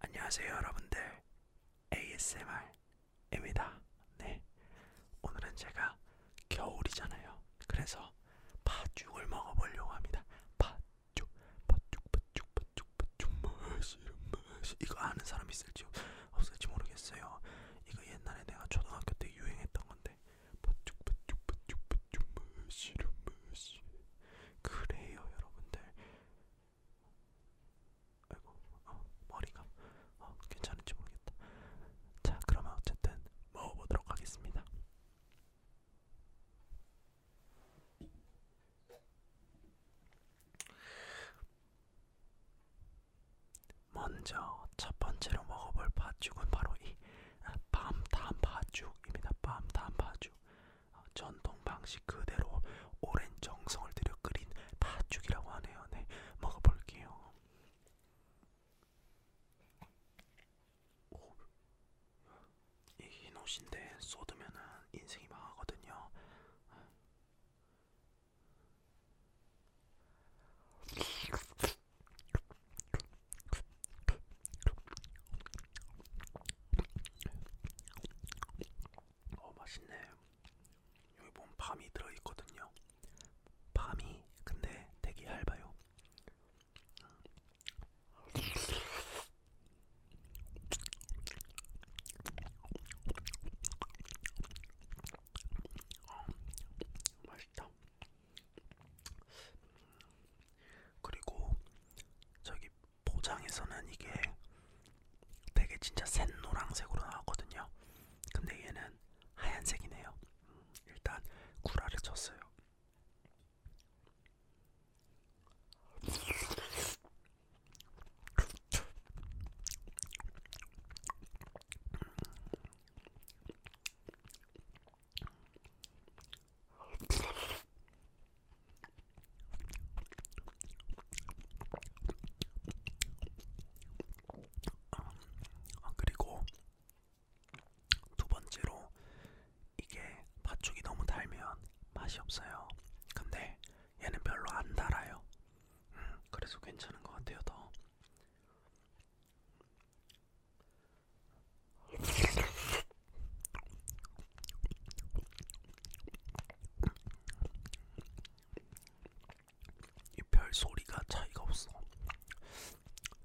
안녕하세요 여러분들 ASMR입니다. 네, 오늘은 제가 겨울이잖아요. 그래서 팥죽을 먹어보려고 합니다. 팥 팥죽 팥죽 팥죽 팥죽 팥죽 맛이 맛이 이거 아는 사람 있을지 없을지 모르겠어요. 이거 옛날에 내가 초등학교 때 유행했던 건데 팥죽 팥죽 팥죽 팥죽 맛이 맛이 그래요 여러분들. 아이고 어, 머리가 어, 괜찮은지 모르겠다. 자 그러면 어쨌든 먹어보도록 하겠습니다. 먼저 첫 번째로 먹어볼 팥죽은 바로 이 아, 밤탄 팥죽입니다. 밤탄 팥죽 어, 전통 방식 그대로 오랜 정성을 들여 끓인 팥죽이라고 하네요. 네, 먹어볼게요. 오, 흰옷인데 쏟으면은 인생이 망하거든요. 어 맛있네. 여기 보면 밤이 들어있거든요. 밤이 근데 되게 얇아요. 맛있다. 그리고 저기 포장에서는 이게 되게 진짜 센 노란색으로 나왔거든요. 근데 얘는 하얀색이네요. 음, 일단 구라를 쳤어요. 아, 그리고 두 번째로 이게 팥죽이 너무 달면 맛이 없어요. 근데 얘는 별로 안 달아요. 음, 그래서 괜찮은 것 같아요. 더. 이 별 소리가 차이가 없어.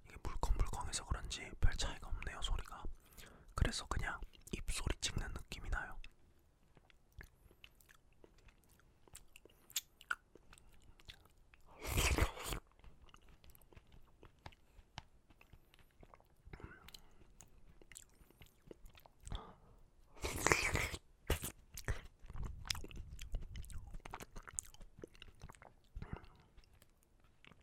이게 물컹물컹해서 그런지 별 차이가 없네요. 소리가. 그래서 그냥 입소리 찍는 느낌이 나요.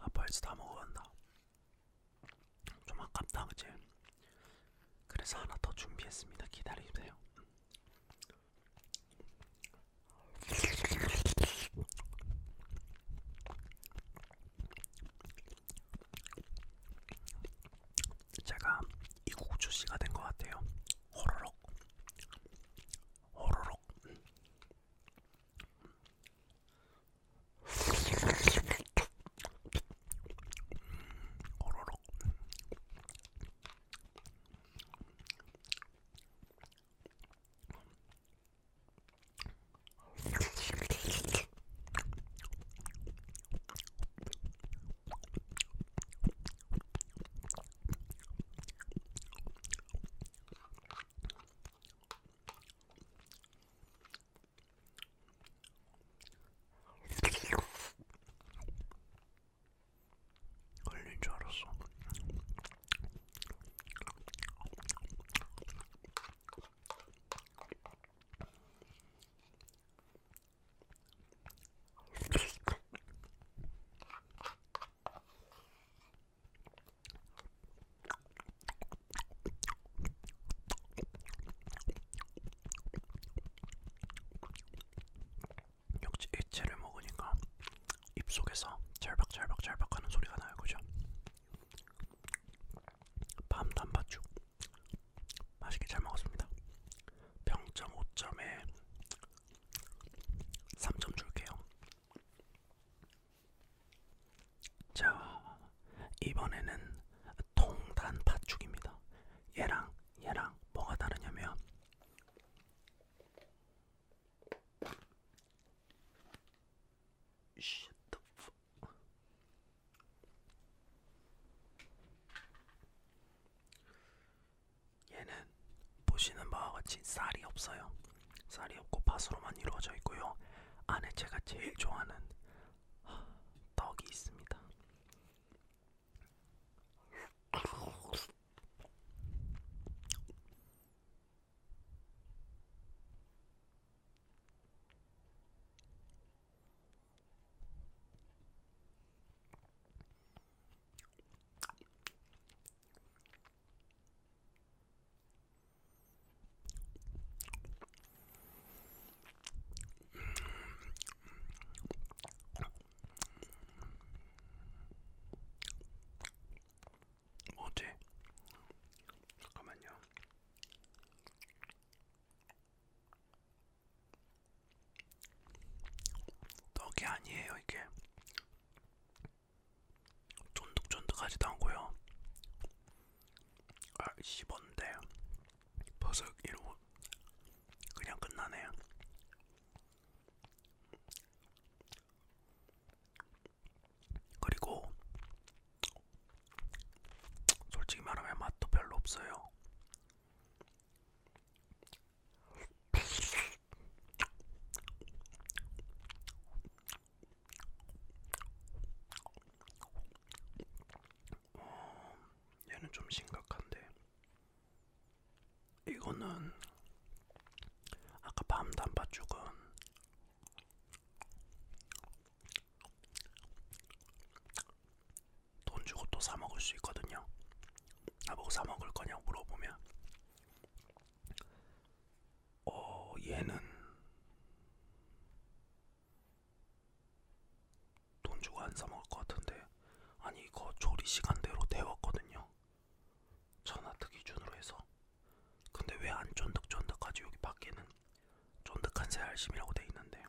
아빠에서 다 먹어간다. 좀 아깝다 그치? 그래서 하나 더 준비했습니다. 기다리세요. 제가 이국주 씨가 된 것 같아요. 호로록 호로록 호로록 걸린 줄 알았어. 역시 액체를 먹으니까 입속에서 절박절박절박 하는 소리가 나요 그죠? 밤 단팥죽 맛있게 잘 먹었습니다 평점 5점에 3점 줄게요. 자, 이번에는 통단 팥죽입니다. 얘랑 얘랑 뭐가 다르냐면 얘는 보시는 바와 같이 쌀이 없어요. 쌀이 없고 팥으로만 이루어져 있고요. 안에 제가 제일 좋아하는 떡이 있습니다. 뭐지? 잠깐만요. 떡이 아니에요 이게 쫀득쫀득하지도 않고요 아 씹었는데 버섯 이러고 그냥 끝나네요 그리고 솔직히 말하면 맛도 별로 없어요 어, 얘는 좀 심각한데 이거는 아까 밤 단팥죽은 돈 주고 또 사 먹을 수 있거든요. 나보고 사 먹을 거냐고 물어보면, 어 얘는 돈 주고 안 사 먹을 것 같은데, 아니 이거 조리 시간대로 데웠거든요. 전화트 기준으로 해서. 근데 왜 안 쫀득쫀득하지? 여기 밖에는 쫀득한 새알심이라고 돼 있는데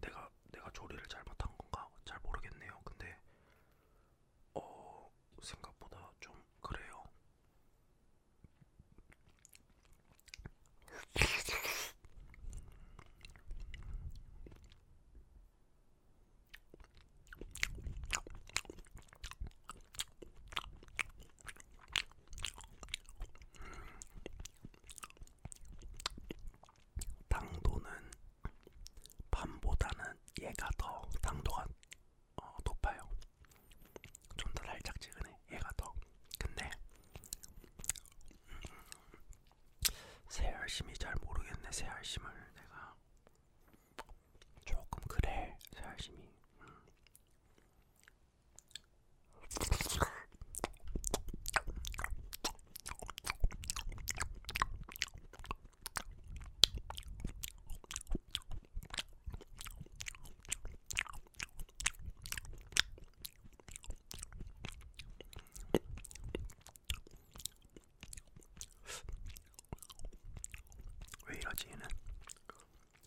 내가 내가 조리를 잘 못한 건가 잘 모르겠네요. 근데 어 생각보다 좀 그래요. 당도는 밤보다는 얘가 더 당도가 어, 높아요. 좀더 달짝지근해 얘가 더. 근데 음, 새알심이 잘 모르겠네. 새알심을 내가 조금 그래. 새알심이. 음. 왜 이러지 얘는?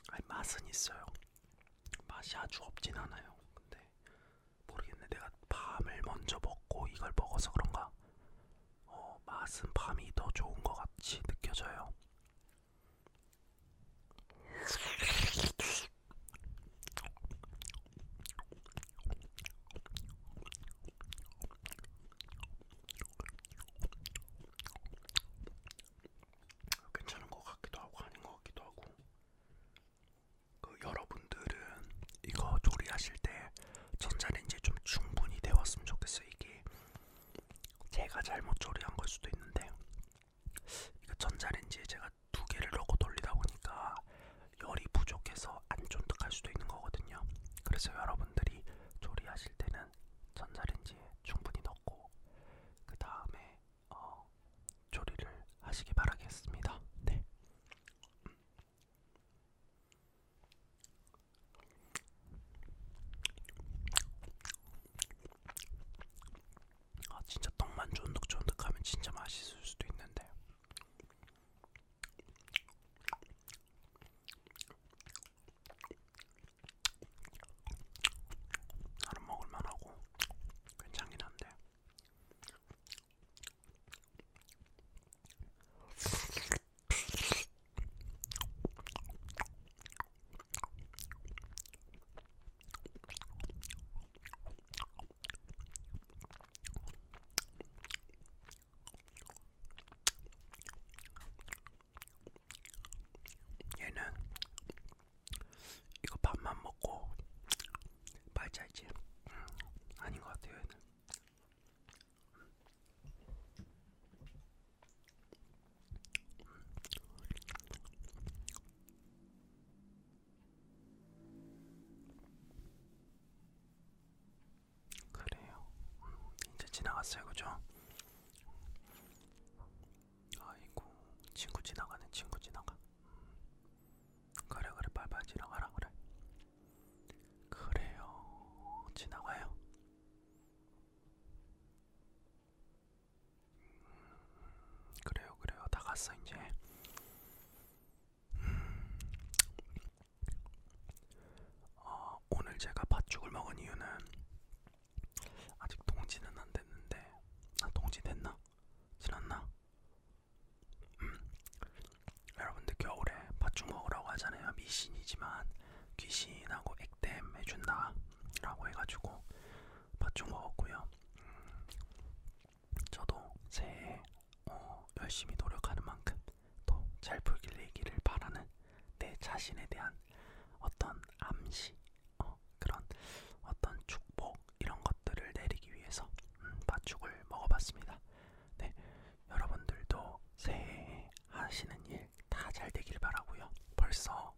아니 맛은 있어요. 맛이 아주 없진 않아요. 근데 모르겠네. 내가 밤을 먼저 먹고 이걸 먹어서 그런가. 어, 맛은 밤이 더 좋은 것 같이 느껴져요. 괜찮은 것 같기도 하고 아닌 것 같기도 하고 그 여러분들은 이거 조리하실 때 전자레인지 좀 충분히 데웠으면 좋겠어요. 이게 제가 잘못 조리한 걸 수도 있는데 이거 전자레인지에 제가 두 개를 넣고 돌리다 보니까 열이 부족해서 안 쫀득할 수도 있는 거거든요. 그래서 여러분들이 조리하실 때는 전자레인지에 충분히 넣고 그 다음에 어, 조리를 하시기 바라겠습니다. 네. 아 진짜 떡만 쫀득쫀득하면 진짜 맛있을 수도 있는데 나는 먹을만하고 괜찮긴 한데 얘는 이거 밥만 먹고 말자이지 음, 아닌 것 같아요 얘는 그래요. 음, 이제 지나갔어요, 그죠? 아이고, 친구 지나가는 친구 지나가. 음. 그래 그래 빨리빨리 지나가라 그래 그래요 지나가요 음, 그래요 그래요 다 갔어 이제 음, 어, 오늘 제가 팥죽을 먹은 이유는 아직 동지는 안 됐는데 아 동지 됐나? 지났나? 음. 여러분들 겨울에 팥죽 먹으라고 하잖아요. 미신이지만 귀신하고 액땜 해준다라고 해가지고 팥죽 먹었고요. 음, 저도 새해 어, 열심히 노력하는 만큼 또 잘 풀리기를 바라는 내 자신에 대한 어떤 암시, 어, 그런 어떤 축복 이런 것들을 내리기 위해서 음, 팥죽을 먹어봤습니다. 네, 여러분들도 새해 하시는 일 다 잘 되길 바라고요. 벌써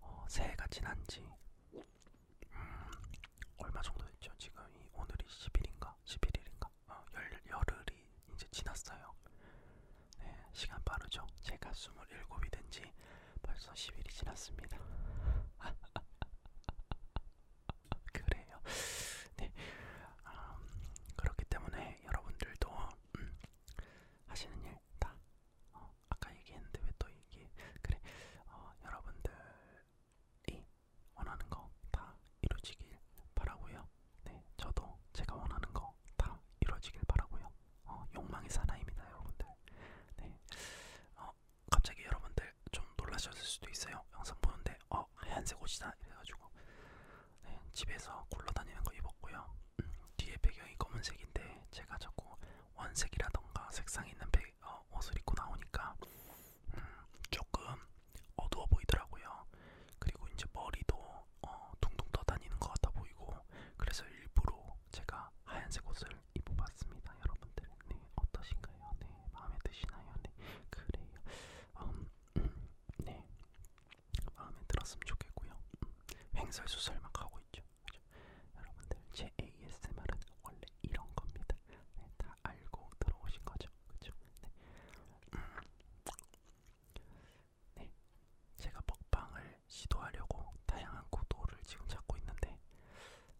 어, 새해가 지난지 음, 얼마 정도 됐죠? 지금 이 오늘이 10일인가? 11일인가? 어, 열, 열흘이 이제 지났어요. 네, 시간 빠르죠? 제가 27이 된지 벌써 10일이 지났습니다. 그래요. 네, 음, 그렇기 때문에 여러분들도 음, 하시는 일다 어, 아까 얘기했는데 왜 또 얘기? 그래, 어, 여러분들이 원하는 거 다 이루어지길 바라고요. 네, 저도 제가 원하는 거 다 이루어지길 바라고요. 어, 욕망의 사나입니다, 여러분들. 네, 어, 갑자기 여러분들 좀 놀라셨을 수도 있어요. 영상 보는데 어 하얀색 옷이다 이래가지고 네, 집에서 굴러다니는 거 입었고요. 음, 뒤에 배경이 검은색인데 제가 자꾸 원색이라던가 색상 있는 배, 어, 옷을 입고 나오니까 음, 조금 어두워 보이더라고요. 그리고 이제 머리도 어, 둥둥 떠다니는 것 같아 보이고 그래서 일부러 제가 하얀색 옷을 입어봤습니다. 여러분들, 네, 어떠신가요? 네, 마음에 드시나요? 네, 그래요. 음, 음, 네, 마음에 들었으면 좋겠고요. 음, 횡설수설 막 하고 있죠. 그죠? 여러분들, 제 ASMR은 원래 이런 겁니다. 네, 다 알고 들어오신 거죠. 그죠? 네. 음, 네, 제가 먹방을 시도하려고 다양한 구도를 지금 찾고 있는데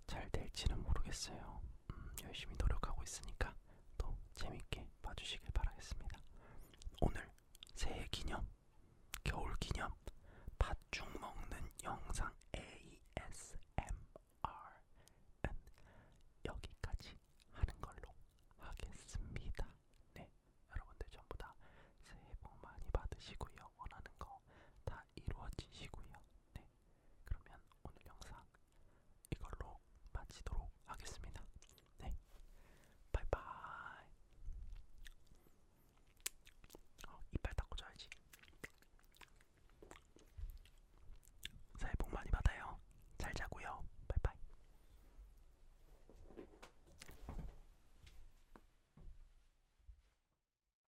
잘 될지는 모르겠어요. 음, 열심히 노력하고 있으니까 또 재밌게 봐주시길 바라겠습니다. 오늘 새해 기념, 겨울 기념, 팥죽 먹는 영상 ASMR은 여기까지 하는 걸로 하겠습니다. 네, 여러분들 전부 다 새해 복 많이 받으시고요. 원하는 거 다 이루어지시고요. 네, 그러면 오늘 영상 이걸로 마치도록 하겠습니다. 네, 바이바이. 어, 이빨 닦고 자야지. 새해 복 많이 받아요. 잘 자고요. 바이바이.